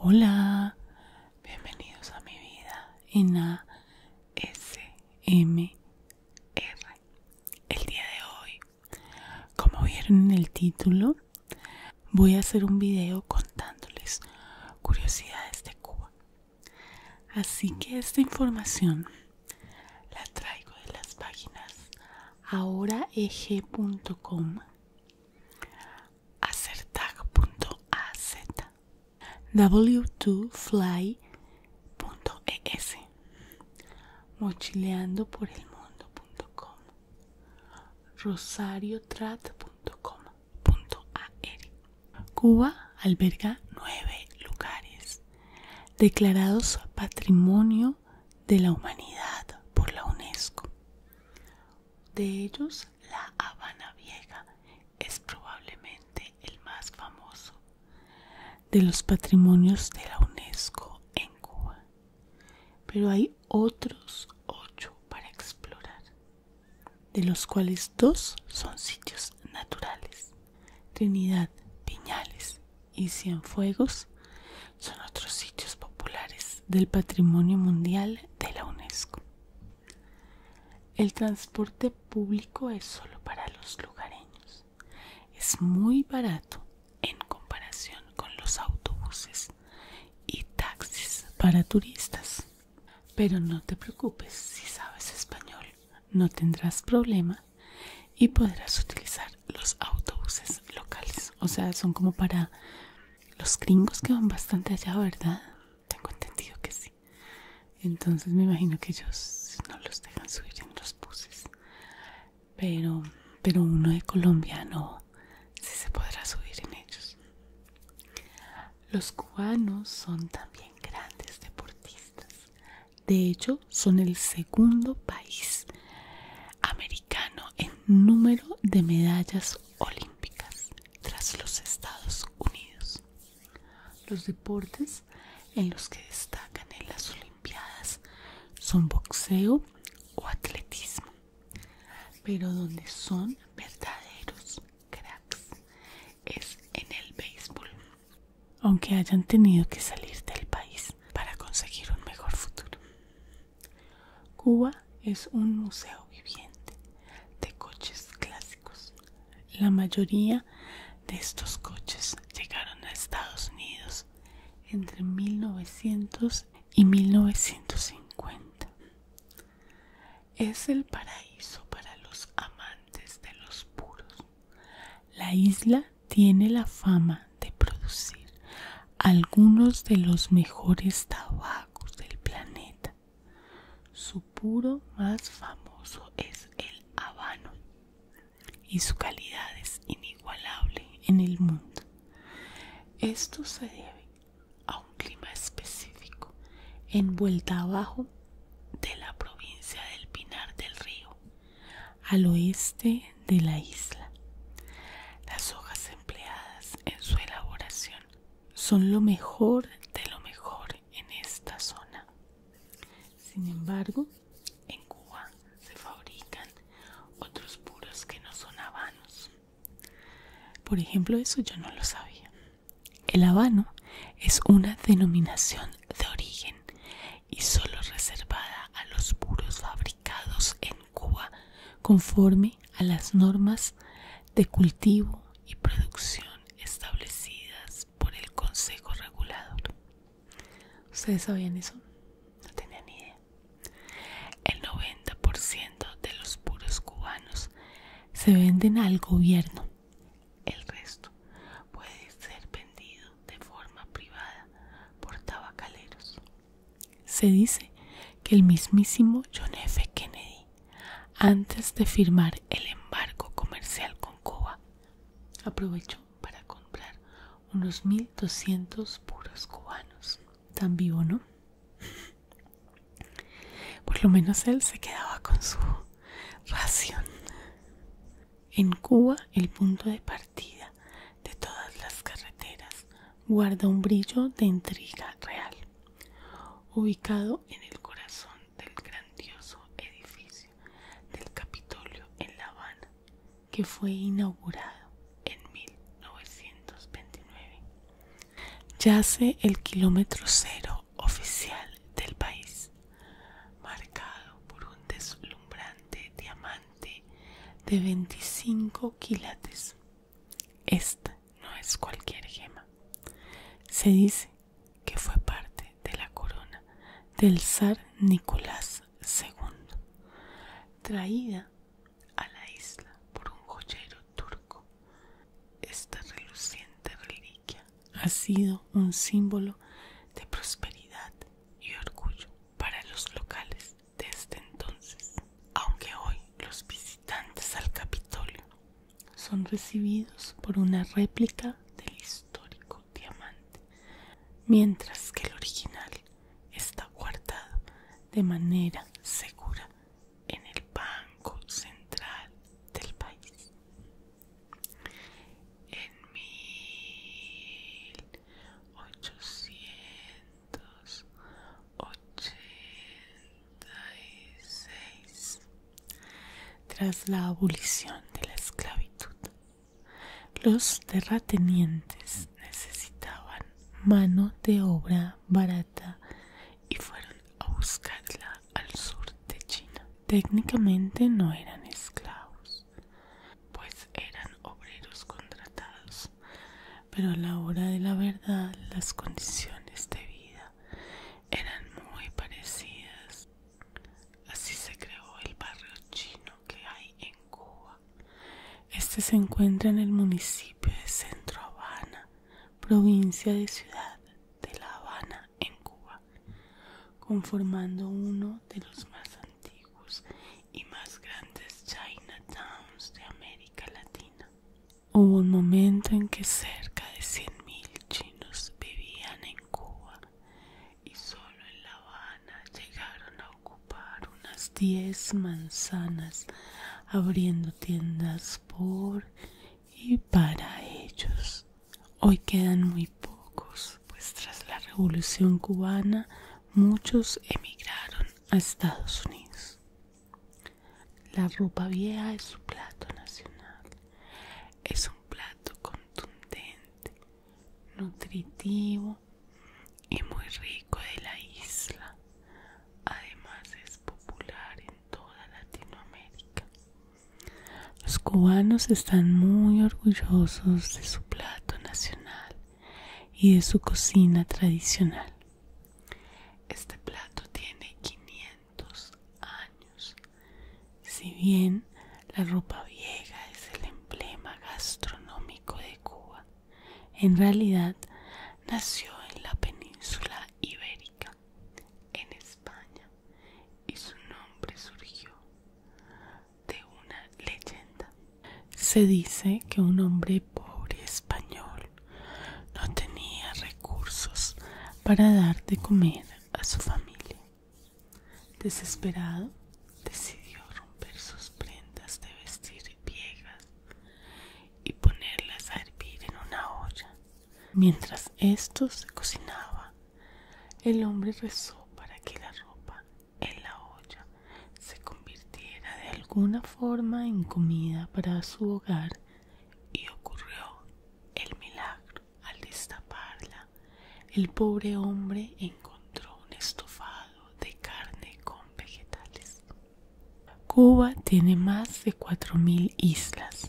Hola, bienvenidos a mi vida en ASMR. El día de hoy, como vieron en el título, voy a hacer un video contándoles curiosidades de Cuba. Así que esta información la traigo de las páginas ahoraeg.com, acertag.az, w2fly.es, mochileando por el mundo.com, rosariotrat.com Cuba alberga nueve lugares declarados Patrimonio de la Humanidad por la UNESCO. De ellos, La Habana Vieja es probablemente el más famoso de los patrimonios de la UNESCO en Cuba. Pero hay otros ocho para explorar de los cuales dos son sitios naturales. Trinidad, Piñales y Cienfuegos son otros sitios populares del patrimonio mundial de la UNESCO. El transporte público es solo para los lugareños. Es muy barato en comparación con los autobuses y taxis para turistas. Pero no te preocupes, si sabes español no tendrás problema y podrás utilizar los autobuses locales. O sea, son como para los gringos que van bastante allá, ¿verdad? Tengo entendido que sí. Entonces me imagino que ellos no los dejan subir en los buses. Pero, pero uno de colombiano sí se podrá subir en ellos. Los cubanos son también grandes deportistas. De hecho, son el segundo país americano en número de medallas olímpicas tras los Estados Unidos. Los deportes en los que destacan en las Olimpiadas son boxeo o atletismo, pero donde son verdaderos cracks es en el béisbol, aunque hayan tenido que salir del país para conseguir un mejor futuro. Cuba es un museo viviente de coches clásicos. La mayoría de estos coches llegaron a Estados Unidos entre 1900 y 1950. Es el paraíso para los amantes de los puros. La isla tiene la fama de producir algunos de los mejores tabacos del planeta. Su puro más famoso es el habano y su calidad es inigualable en el mundo. Esto se debe a un clima específico envuelta abajo de la provincia del Pinar del Río, al oeste de la isla. Las hojas empleadas en su elaboración son lo mejor de lo mejor en esta zona. Sin embargo, en Cuba se fabrican otros puros que no son habanos. Por ejemplo, eso yo no lo sabía. El habano es una denominación de origen y solo reservada a los puros fabricados en Cuba conforme a las normas de cultivo y producción establecidas por el Consejo Regulador. ¿Ustedes sabían eso? No tenía ni idea. El 90% de los puros cubanos se venden al gobierno. El resto puede ser vendido de forma privada por tabacaleros. Se dice que el mismísimo John F. Kennedy, antes de firmar el embargo comercial con Cuba, aprovechó para comprar unos 1.200 puros cubanos. Tan vivo, ¿no? Por lo menos él se quedaba con su ración. En Cuba, el punto de partida de todas las carreteras guarda un brillo de intriga real, ubicado en el corazón del grandioso edificio del Capitolio en La Habana, que fue inaugurado en 1929. Yace el kilómetro cero oficial del país, marcado por un deslumbrante diamante de 25 quilates. Esta no es cualquier gema. Se dice que fue parte de la corona del zar Nicolás II, traída a la isla por un joyero turco. Esta reluciente reliquia ha sido un símbolo de prosperidad y orgullo para los locales desde este entonces, aunque hoy los visitantes al Capitolio son recibidos por una réplica del histórico diamante, mientras que el original está guardado de manera segura en el Banco Central del país. En 1886, tras la abolición de la esclavitud, los terratenientes necesitaban mano de obra barata y fueron a buscarla al sur de China. Técnicamente no eran esclavos, pues eran obreros contratados, pero a la hora de la verdad las condiciones de vida eran muy parecidas. Así se creó el barrio chino que hay en Cuba. Este se encuentra en el municipio de Centro Habana, provincia de Ciudad de La Habana en Cuba, conformando uno de los más antiguos y más grandes Chinatowns de América Latina. Hubo un momento en que cerca de 100.000 chinos vivían en Cuba y solo en La Habana llegaron a ocupar unas 10 manzanas abriendo tiendas por y para ellos. Hoy quedan muy pocos, pues tras la Revolución cubana muchos emigraron a Estados Unidos. La ropa vieja es su plato nacional. Es un plato contundente, nutritivo y muy rico de la isla. Además es popular toda Latinoamérica. Los cubanos están muy orgullosos de su plato nacional y de su cocina tradicional. Este plato tiene 500 años. Si bien la ropa vieja es el emblema gastronómico de Cuba, en realidad nació en la península ibérica en España, y su nombre surgió de una leyenda. Se dice que un hombre pobre español no tenía recursos para dar de comer a su familia. Desesperado, decidió romper sus prendas de vestir viejas y ponerlas a hervir en una olla Mientras esto se cocinaba, el hombre rezó para que la ropa en la olla se convirtiera de alguna forma en comida para su hogar y ocurrió el milagro. Al destaparla, el pobre hombre encontró un estofado de carne con vegetales. Cuba tiene más de 4.000 islas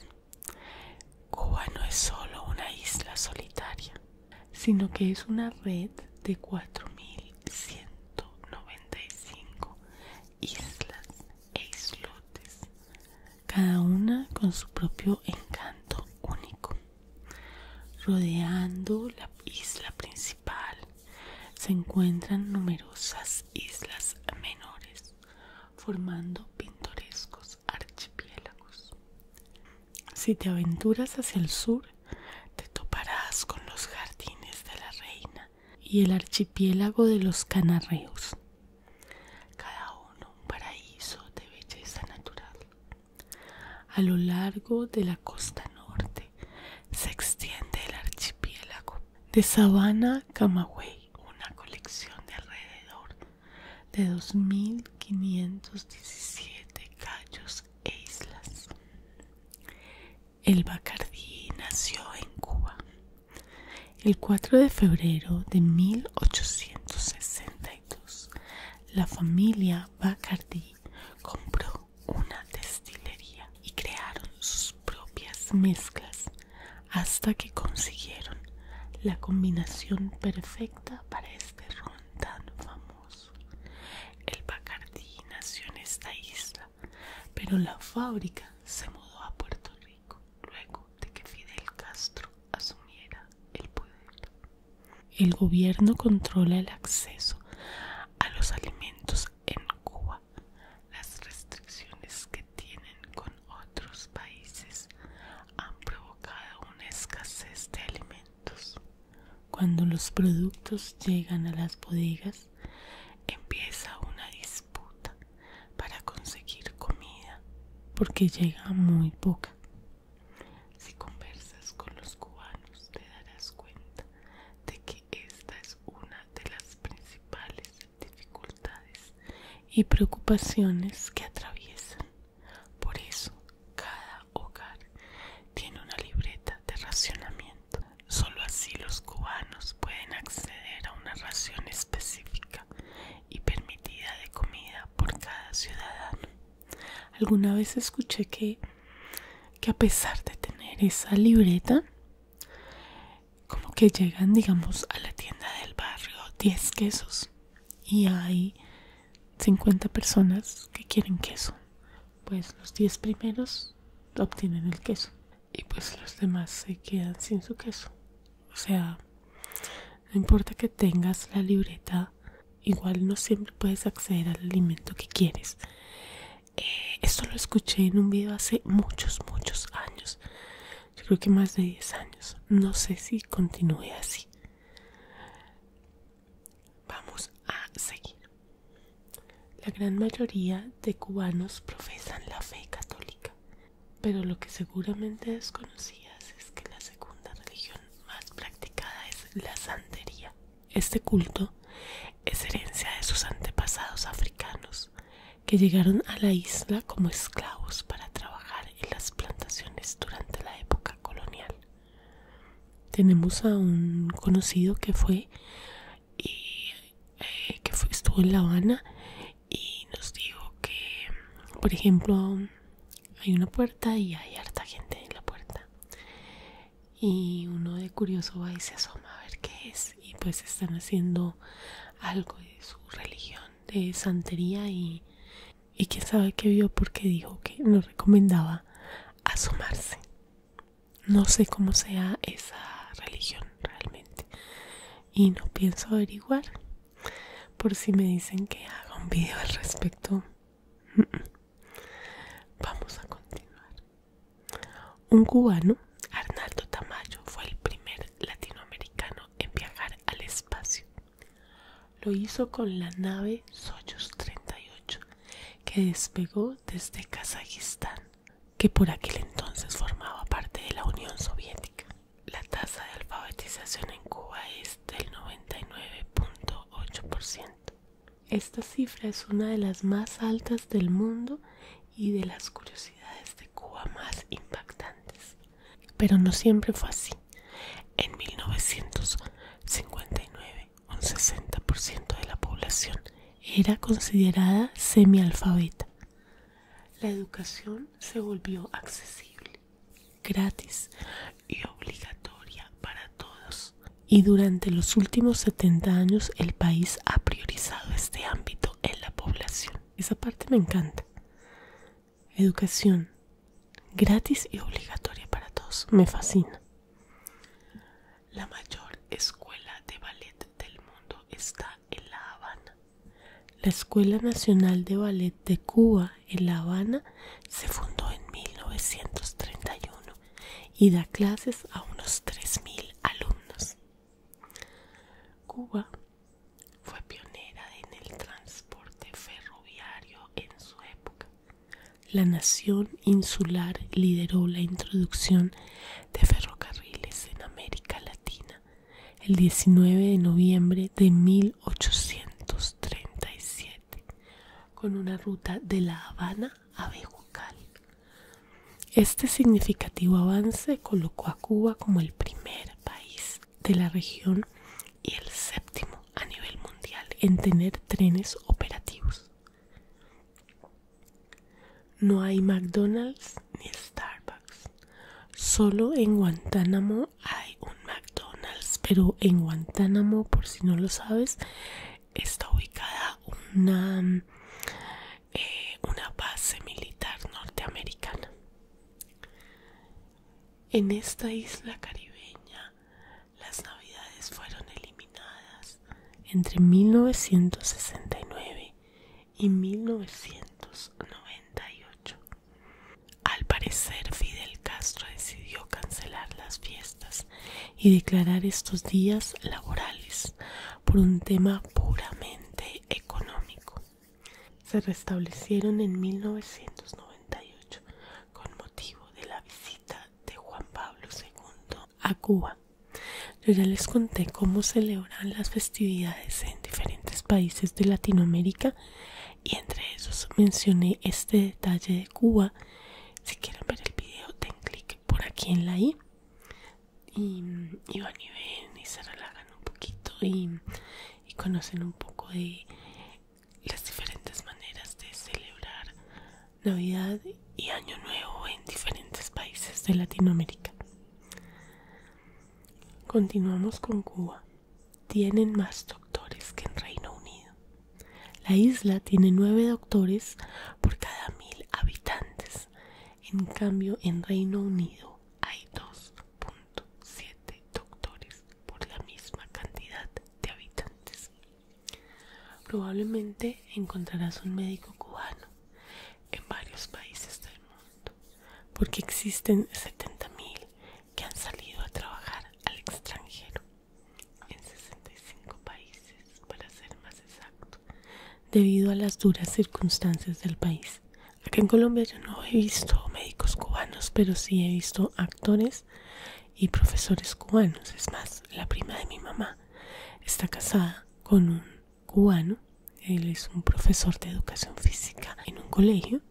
Cuba no es solo una isla solitaria, sino que es una red de 4.195 islas e islotes, cada una con su propio encanto único. Rodeando la isla principal se encuentran numerosas islas menores formando pintorescos archipiélagos. Si te aventuras hacia el sur, te toparás con los jardines de la reina y el archipiélago de los canarreos, cada uno un paraíso de belleza natural. A lo largo de la costa norte se extiende el archipiélago de Sabana Camagüey una colección de alrededor de 2.517 callos e islas. El Bacardí nació en Cuba el 4 de febrero de 1862. La familia Bacardí compró una destilería y crearon sus propias mezclas hasta que consiguieron la combinación perfecta para este ron tan famoso. El Bacardi nació en esta isla, pero la fábrica se mudó a Puerto Rico luego de que Fidel Castro asumiera el poder. El gobierno controla el acceso a los alimentos en Cuba. Las restricciones que tienen con otros países han provocado una escasez de alimentos. Cuando los productos llegan a las bodegas, empieza una disputa para conseguir comida, porque llega muy poca. Si conversas con los cubanos, te darás cuenta de que esta es una de las principales dificultades y preocupaciones que atraviesan. Por eso, cada hogar tiene una libreta de racionamiento. Solo así los cubanos pueden acceder a una ración específica y permitida de comida por cada ciudadano. Alguna vez escuché que, que a pesar de tener esa libreta, como que llegan digamos a la tienda del barrio 10 quesos y hay 50 personas que quieren queso pues los 10 primeros obtienen el queso y pues los demás se quedan sin su queso o sea no importa que tengas la libreta igual no siempre puedes acceder al alimento que quieres eh, esto lo escuché en un video hace muchos muchos años yo creo que más de 10 años. No sé si continúe así. Vamos a seguir. La gran mayoría de cubanos profesan la fe católica, pero lo que seguramente desconocías es que la segunda religión más practicada es la santería. Este culto es herencia de sus antepasados africanos que llegaron a la isla como esclavos para trabajar en las plantaciones durante la época colonial. Tenemos a un conocido que fue y eh, eh, que estuvo en La Habana y nos dijo que, por ejemplo, hay una puerta y hay harta gente en la puerta. Y uno de curioso va y se asoma a ver qué es. Y pues están haciendo algo de su religión de santería y, y quién sabe qué vio porque dijo que nos recomendaba asomarse. No sé cómo sea esa religión realmente y no pienso averiguar por si me dicen que haga un video al respecto. Vamos a continuar. Un cubano, Arnaldo Tamayo, fue el primer latinoamericano en viajar al espacio. Lo hizo con la nave Soyuz 38, que despegó desde Kazajistán, que por aquel entonces formaba parte de la Unión Soviética. La tasa de alfabetización en Cuba es del 99.8%. Esta cifra es una de las más altas del mundo y de las curiosidades de Cuba más impactantes. Pero no siempre fue así. En 1959, un 60% de la población era considerada semialfabeta. La educación se volvió accesible, gratis y obligatoria para todos. Y durante los últimos 70 años el país ha priorizado este ámbito en la población. Esa parte me encanta. Educación gratis y obligatoria para todos. Me fascina. La mayor escuela de ballet del mundo está en La Habana. La Escuela Nacional de Ballet de Cuba en La Habana se fundó en 1931 y da clases a unos 3.000 alumnos. Cuba fue pionera en el transporte ferroviario en su época. La nación insular lideró la introducción de ferrocarriles en América Latina el 19 de noviembre de 1837 con una ruta de La Habana a Bejucal. Este significativo avance colocó a Cuba como el primer país de la región y el séptimo a nivel mundial en tener trenes operativos. No hay McDonald's ni Starbucks. Solo en Guantánamo hay un McDonald's, pero en Guantánamo, por si no lo sabes, está ubicada una, eh, una base militar norteamericana. En esta isla caribeña, las navidades fueron eliminadas entre 1969 y 1998. Al parecer, Fidel Castro decidió cancelar las fiestas y declarar estos días laborales por un tema puramente económico se restablecieron en 1998 con motivo de la visita de Juan Pablo II a Cuba. Yo ya les conté cómo celebran las festividades en diferentes países de Latinoamérica y entre esos mencioné este detalle de Cuba. Si quieren ver el video, den clic por aquí en la i y, van y ven y se relajan un poquito y y conocen un poco de las diferentes maneras de celebrar Navidad y Año Nuevo en diferentes países de Latinoamérica. Continuamos con Cuba. Tienen más doctores que en Reino Unido. La isla tiene nueve doctores por cada mil habitantes. En cambio, en Reino Unido hay dos. .7 doctores por la misma cantidad de habitantes. Probablemente encontrarás un médico cubano en varios países del mundo, porque existen 70.000 que han salido a trabajar al extranjero en 65 países, para ser más exacto, debido a las duras circunstancias del país. Aquí en Colombia yo no he visto médicos cubanos, pero sí he visto actores y profesores cubanos. Es más, la prima de mi mamá está casada con un cubano. Él es un profesor de educación física en un colegio.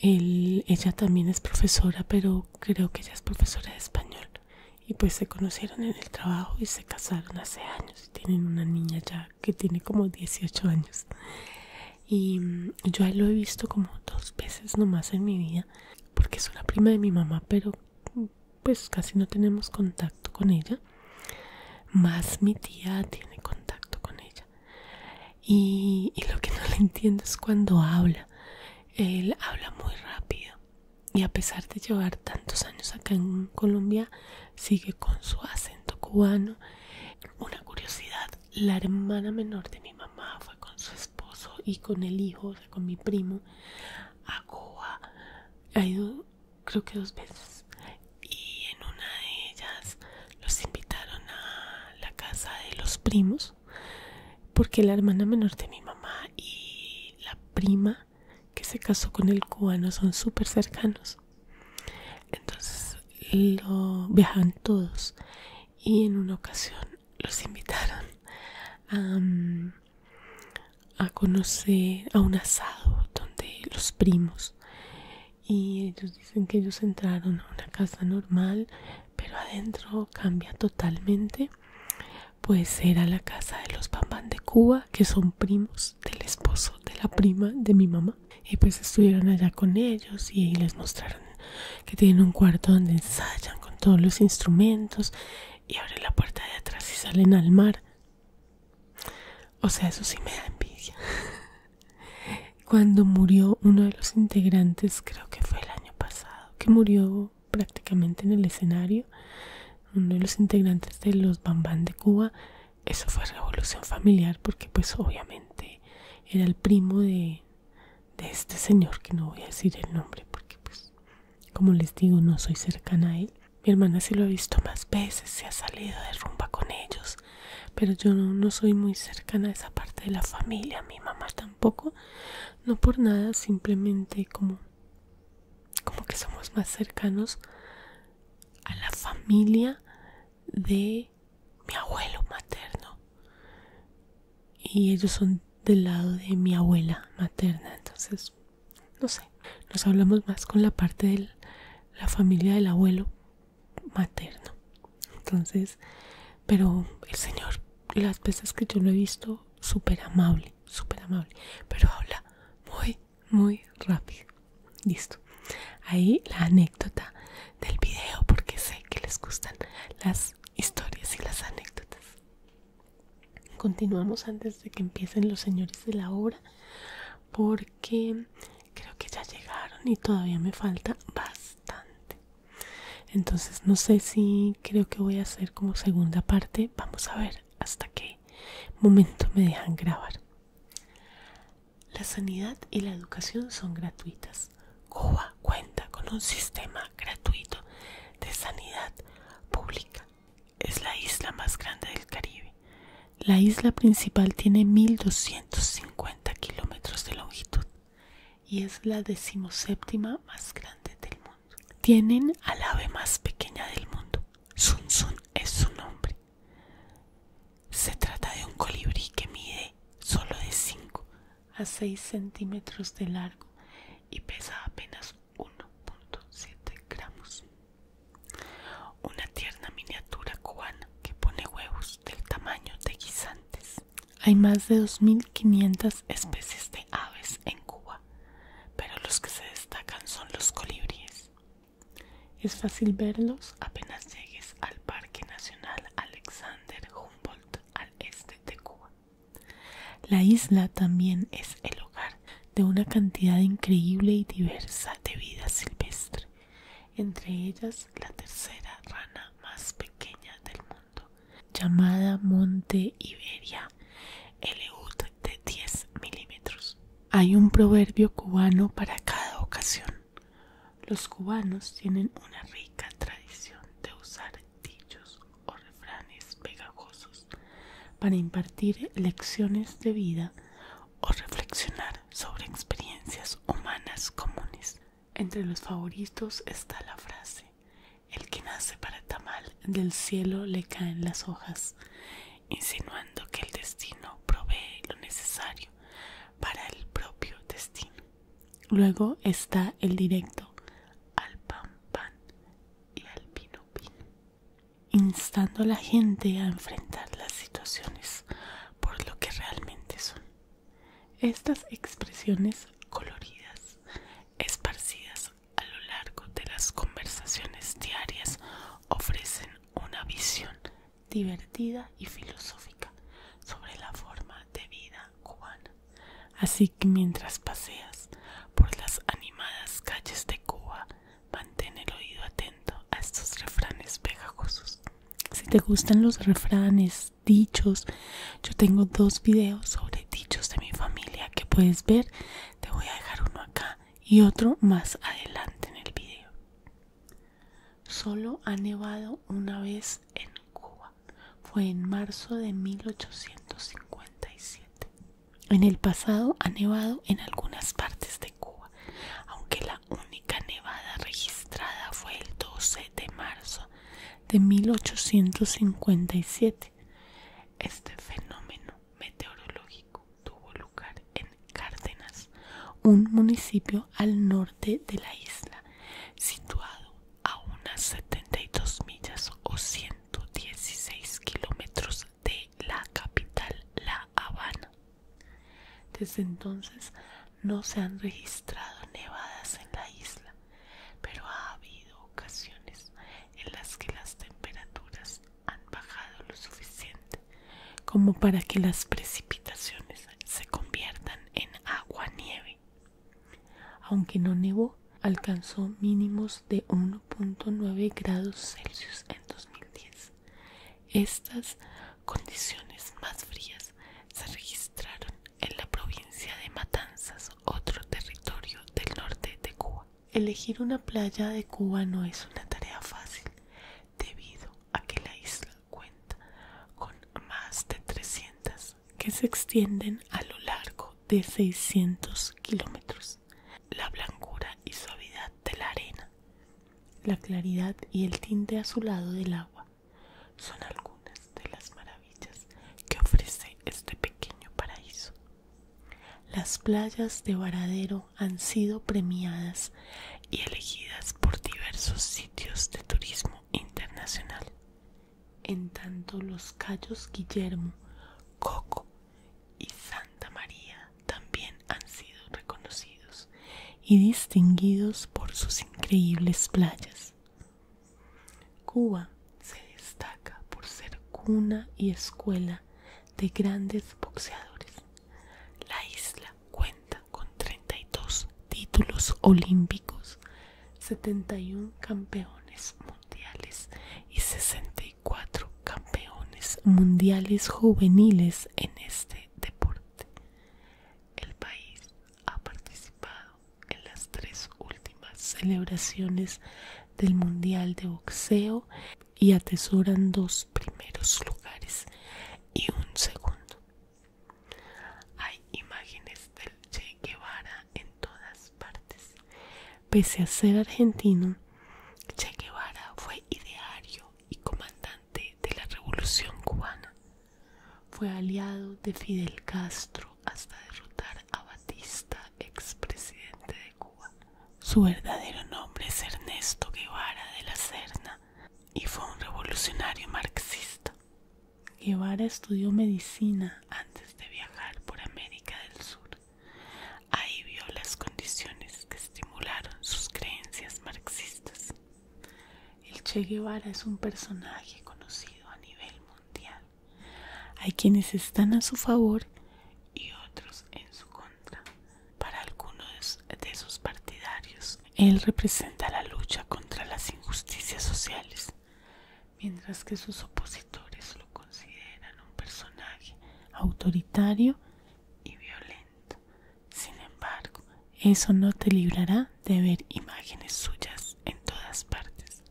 Em, ella también es profesora, pero creo que ella es profesora de español. Y pues se conocieron en el trabajo y se casaron hace años. Y tienen una niña ya que tiene como 18 años y yo lo he visto como dos veces nomás en mi vida porque es una prima de mi mamá pero pues casi no tenemos contacto con ella más mi tía tiene contacto con ella y lo que no le entiendo es cuando habla él habla muy rápido y a pesar de llevar tantos años acá en Colombia sigue con su acento cubano. Una curiosidad, la hermana menor de mi mamá fue con su esposo y con el hijo, con mi primo, a Cuba. Ha ido creo que dos veces. Y en una de ellas los invitaron a la casa de los primos, porque la hermana menor de mi mamá y la prima que se casó con el cubano son súper cercanos. Entonces lo viajaban todos y en una ocasión los invitaron mm, a, conocer a un asado donde los primos y ellos dicen que ellos entraron a una casa normal pero adentro cambia totalmente pues era la casa de los bambán de Cuba que son primos del esposo de la prima de mi mamá. Y pues estuvieron allá con ellos y les mostraron que tienen un cuarto donde ensayan con todos los instrumentos y abren la puerta de atrás y salen al mar. O sea, eso sí me da envidia. Cuando murió uno de los integrantes, creo que fue el año pasado, que murió prácticamente en el escenario, uno de los integrantes de los Bambán de Cuba, eso fue revolución familiar porque pues obviamente era el primo de, de este señor que no voy a decir el nombre porque pues como les digo no soy cercana a él mi hermana sí lo ha visto más veces se ha salido de rumba con ellos pero yo no, no soy muy cercana a esa parte de la familia mi mamá tampoco no por nada simplemente como como que somos más cercanos a la familia de mi abuelo materno y ellos son del lado de mi abuela materna entonces no sé nos hablamos más con la parte de la familia del abuelo materno entonces pero el señor las veces que yo lo he visto súper amable súper amable pero habla muy muy rápido. Listo. Ahí la anécdota del video porque sé que les gustan las historias y las anécdotas. Continuamos antes de que empiecen los señores de la obra porque creo que ya llegaron y todavía me falta bastante. Entonces no sé si creo que voy a hacer como segunda parte. Vamos a ver hasta qué momento me dejan grabar. La sanidad y la educación son gratuitas. Cuba cuenta con un sistema gratuito de sanidad pública. Es la isla más grande del Caribe. La isla principal tiene 1.250 kilómetros de longitud y es la decimoséptima más grande del mundo. Tienen al ave más pequeña del mundo. Sun Sun es su nombre. Se trata de un colibrí que mide solo de 5 a 6 centímetros de largo y pesa apenas 1.7 gramos. Una tierna miniatura cubana que pone huevos del tamaño de guisantes. Hay más de 2.500 especies de aves en Cuba, pero los que se destacan son los colibríes. Es fácil verlos apenas llegues al Parque Nacional Alexander Humboldt al este de Cuba. La isla también es el hogar de una cantidad increíble y diversa de vida silvestre, entre ellas la tercera rana más pequeña del mundo, llamada Monte Iberia, Eud de 10 milímetros. Hay un proverbio cubano para cada ocasión. Los cubanos tienen una rica tradición de usar dichos o refranes pegajosos para impartir lecciones de vida o reflexionar sobre experiencias humanas comunes. Entre los favoritos está la frase, el que nace para tamal del cielo le caen las hojas, insinuando que el destino provee lo necesario para el propio destino. Luego está el directo al pan pan y al vino vino, instando a la gente a enfrentar las situaciones por lo que realmente son. Estas expresiones coloridas, esparcidas a lo largo de las conversaciones diarias, ofrecen una visión divertida y filosófica sobre la forma de vida cubana. Así que mientras paseas por las animadas calles de Cuba, mantén el oído atento a estos refranes pegajosos. Si te gustan los refranes, dichos, yo tengo dos videos sobre dichos de mi familia que puedes ver. Te voy a dejar uno acá y otro más adelante en el video. Solo ha nevado una vez en Cuba. Fue en marzo de 1857. En el pasado ha nevado en algunas partes de Cuba, aunque la única nevada registrada fue el 12 de marzo de 1857. Este fenómeno meteorológico tuvo lugar en Cárdenas, un municipio al norte de la isla, situado a unas 72 millas o 116 kilómetros de la capital, La Habana. Desde entonces no se han registrado nevadas en la isla, pero ha habido ocasiones en las que las temperaturas han bajado lo suficiente como para que las precipitaciones se conviertan en agua-nieve. Aunque no nevó, alcanzó mínimos de 1.9 grados Celsius en 2010. Estas condiciones más frías se registraron en la provincia de Matanzas, otro territorio del norte de Cuba. Elegir una playa de Cuba no es una tarea fácil debido a que isla cuenta con más de 300 que se extienden a lo largo de 600 kilómetros. La blancura y suavidad de la arena, la claridad y el tinte azulado del agua son algunas de las maravillas que ofrece este pequeño paraíso. Las playas de Varadero han sido premiadas y elegidas por diversos sitios de turismo internacional. En tanto los cayos Guillermo, Coco y Santa María también han sido reconocidos y distinguidos por sus increíbles playas. Cuba se destaca por ser cuna y escuela de grandes boxeadores. La isla cuenta con 32 títulos olímpicos, 71 campeones mundiales y 64 campeones mundiales juveniles en este deporte. El país ha participado en las tres últimas celebraciones del Mundial de Boxeo y atesoran dos primeros lugares y un segundo. Hay imágenes del Che Guevara en todas partes. Pese a ser argentino, Che Guevara fue ideario y comandante de la Revolución Cubana. Fue aliado de Fidel Castro hasta derrotar a Batista, expresidente de Cuba. Su verdadero nombre es Ernesto Guevara de la Serna, y fue un revolucionario marxista. Guevara estudió medicina antes de viajar por América del Sur. Ahí vio las condiciones que estimularon sus creencias marxistas. El Che Guevara es un personaje conocido a nivel mundial. Hay quienes están a su favor y otros en su contra. Para algunos de sus partidarios, él representa la lucha contra las injusticias sociales, mientras que sus opositores lo consideran un personaje autoritario y violento. Sin embargo, eso no te librará de ver imágenes suyas en todas partes.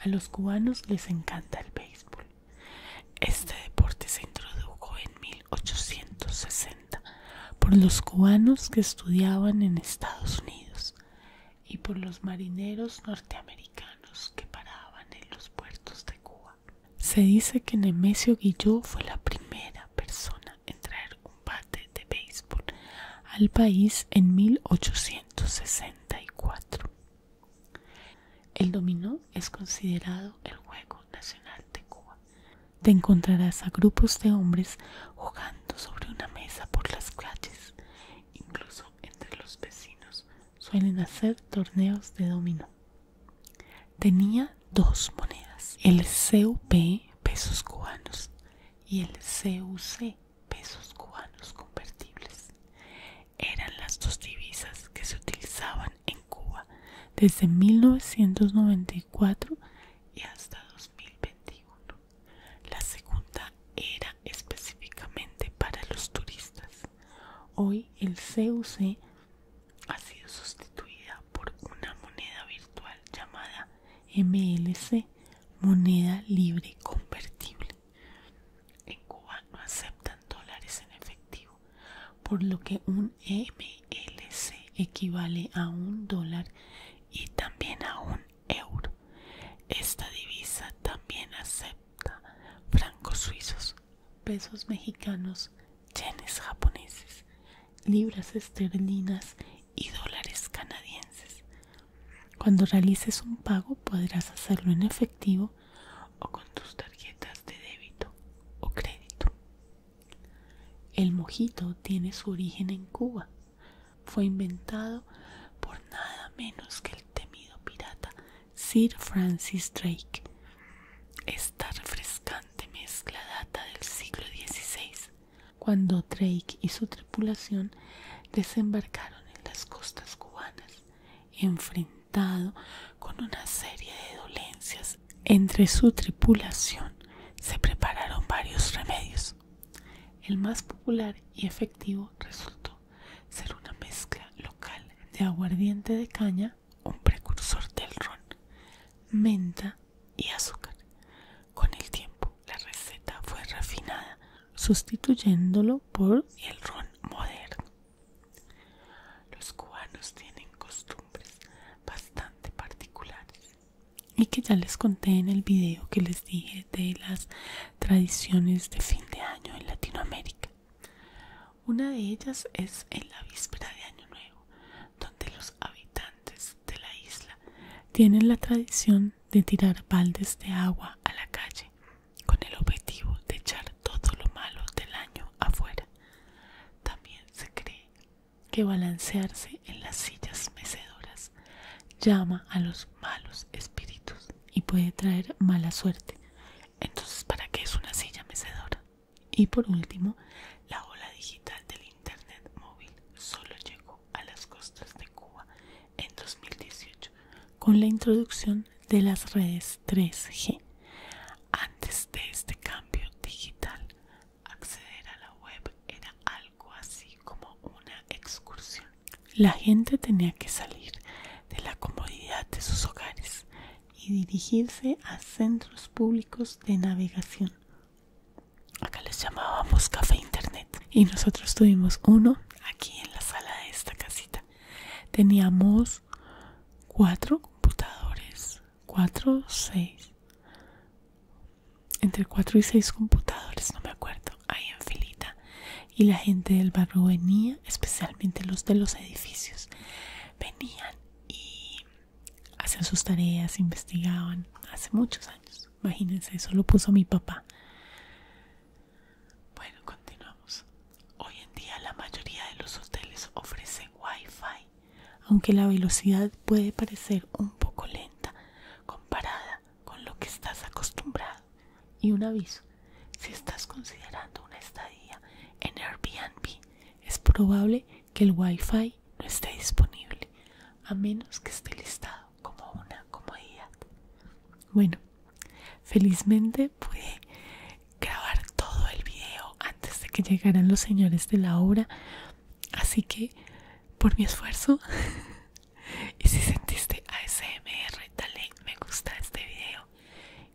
A los cubanos les encanta el béisbol. Este deporte se introdujo en 1860 por los cubanos que estudiaban en Estados Unidos y por los marineros norteamericanos que paraban en los puertos de Cuba. Se dice que Nemesio Guilló fue la primera persona en traer un bate de béisbol al país en 1864. El dominó es considerado el juego nacional de Cuba. Te encontrarás a grupos de hombres jugando sobre una mesa por las calles. Incluso entre los vecinos suelen hacer torneos de dominó. Tenía dos monedas, el CUP pesos cubanos y el CUC pesos cubanos convertibles. Eran las dos divisas que se utilizaban en Cuba desde 1994 y hasta 2021. La segunda era específicamente para los turistas. Hoy el CUC ha sido sustituida por una moneda virtual llamada MLC, moneda libre convertible. En Cuba no aceptan dólares en efectivo por lo que un MLC equivale a un dólar y también a un euro. Esta divisa también acepta francos suizos, pesos mexicanos, yenes japoneses, libras esterlinas y dólares canadienses. Cuando realices un pago podrás hacerlo en efectivo o con tus tarjetas de débito o crédito. El mojito tiene su origen en Cuba. Fue inventado por nada menos que el temido pirata Sir Francis Drake. Esta refrescante mezcla data del siglo XVI, cuando Drake y su tripulación desembarcaron en las costas cubanas, enfrentado con una serie de dolencias entre su tripulación se prepararon varios remedios. El más popular y efectivo resultó ser una mezcla local de aguardiente de caña, un precursor del ron, menta y azúcar. Con el tiempo la receta fue refinada, sustituyéndolo por el ron moderno. Los cubanos tienen costumbres bastante particulares y que ya les conté en el video que les dije de las tradiciones de fin de año en Latinoamérica. Una de ellas es en la víspera de Año Nuevo, donde los habitantes de la isla tienen la tradición de tirar baldes de agua a la calle con el objetivo de echar todo lo malo del año afuera. También se cree que balancearse en las sillas mecedoras llama a los malos espíritus y puede traer mala suerte. Entonces, ¿para qué es una silla mecedora? Y por último, la ola digital del Internet móvil solo llegó a las costas de Cuba en 2018 con la introducción de las redes 3G antes de este cambio digital, acceder a la web era algo así como una excursión. La gente tenía que salir de la comodidad de sus hogares y dirigirse a centros públicos de navegación. Acá les llamábamos café internet y nosotros tuvimos uno aquí en la sala de esta casita. Teníamos cuatro computadores cuatro 4, 6. Entre 4 y 6 computadores, no me acuerdo, ahí en filita. Y la gente del barrio venía, especialmente los de los edificios, venían y hacían sus tareas, investigaban. Hace muchos años, imagínense, eso lo puso mi papá. Bueno, continuamos. Hoy en día la mayoría de los hoteles ofrecen wifi aunque la velocidad puede parecer un poco lenta comparada con lo que estás acostumbrado. Y un aviso, si estás considerando una estadía en Airbnb, es probable que el Wi-Fi no esté disponible, a menos que esté listado como una comodidad. Bueno, felizmente pude grabar todo el video antes de que llegaran los señores de la obra así que por mi esfuerzo y si sentiste ASMR dale me gusta a este video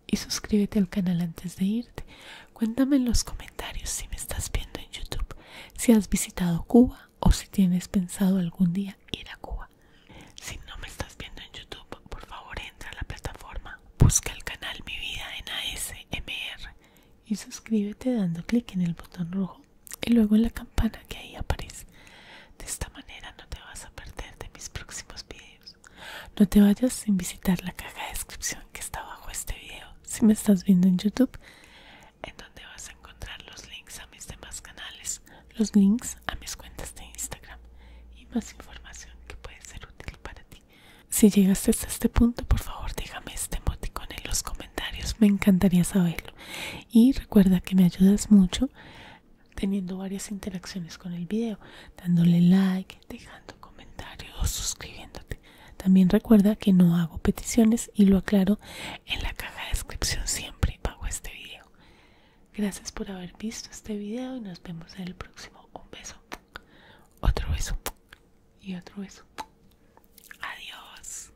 y suscríbete al canal antes de irte cuéntame en los comentarios si me estás viendo en YouTube si has visitado Cuba o si tienes pensado algún día ir a Cuba si no me estás viendo en YouTube por favor entra a la plataforma busca el canal Mi Vida en ASMR y suscríbete dando clic en el botón rojo y luego en la campana que ahí aparece. De esta manera no te vas a perder de mis próximos videos. No te vayas sin visitar la caja de descripción que está bajo este video si me estás viendo en YouTube, en donde vas a encontrar los links a mis demás canales, los links a mis cuentas de Instagram y más información que puede ser útil para ti. Si llegaste hasta este punto, por favor déjame este emoticón en los comentarios, me encantaría saberlo. Y recuerda que me ayudas mucho teniendo varias interacciones con el video, dándole like, dejando comentarios o suscribiéndote. También recuerda que no hago peticiones y lo aclaro en la caja de descripción siempre pago este video. Gracias por haber visto este video y nos vemos en el próximo. Un beso, otro beso y otro beso. Adiós.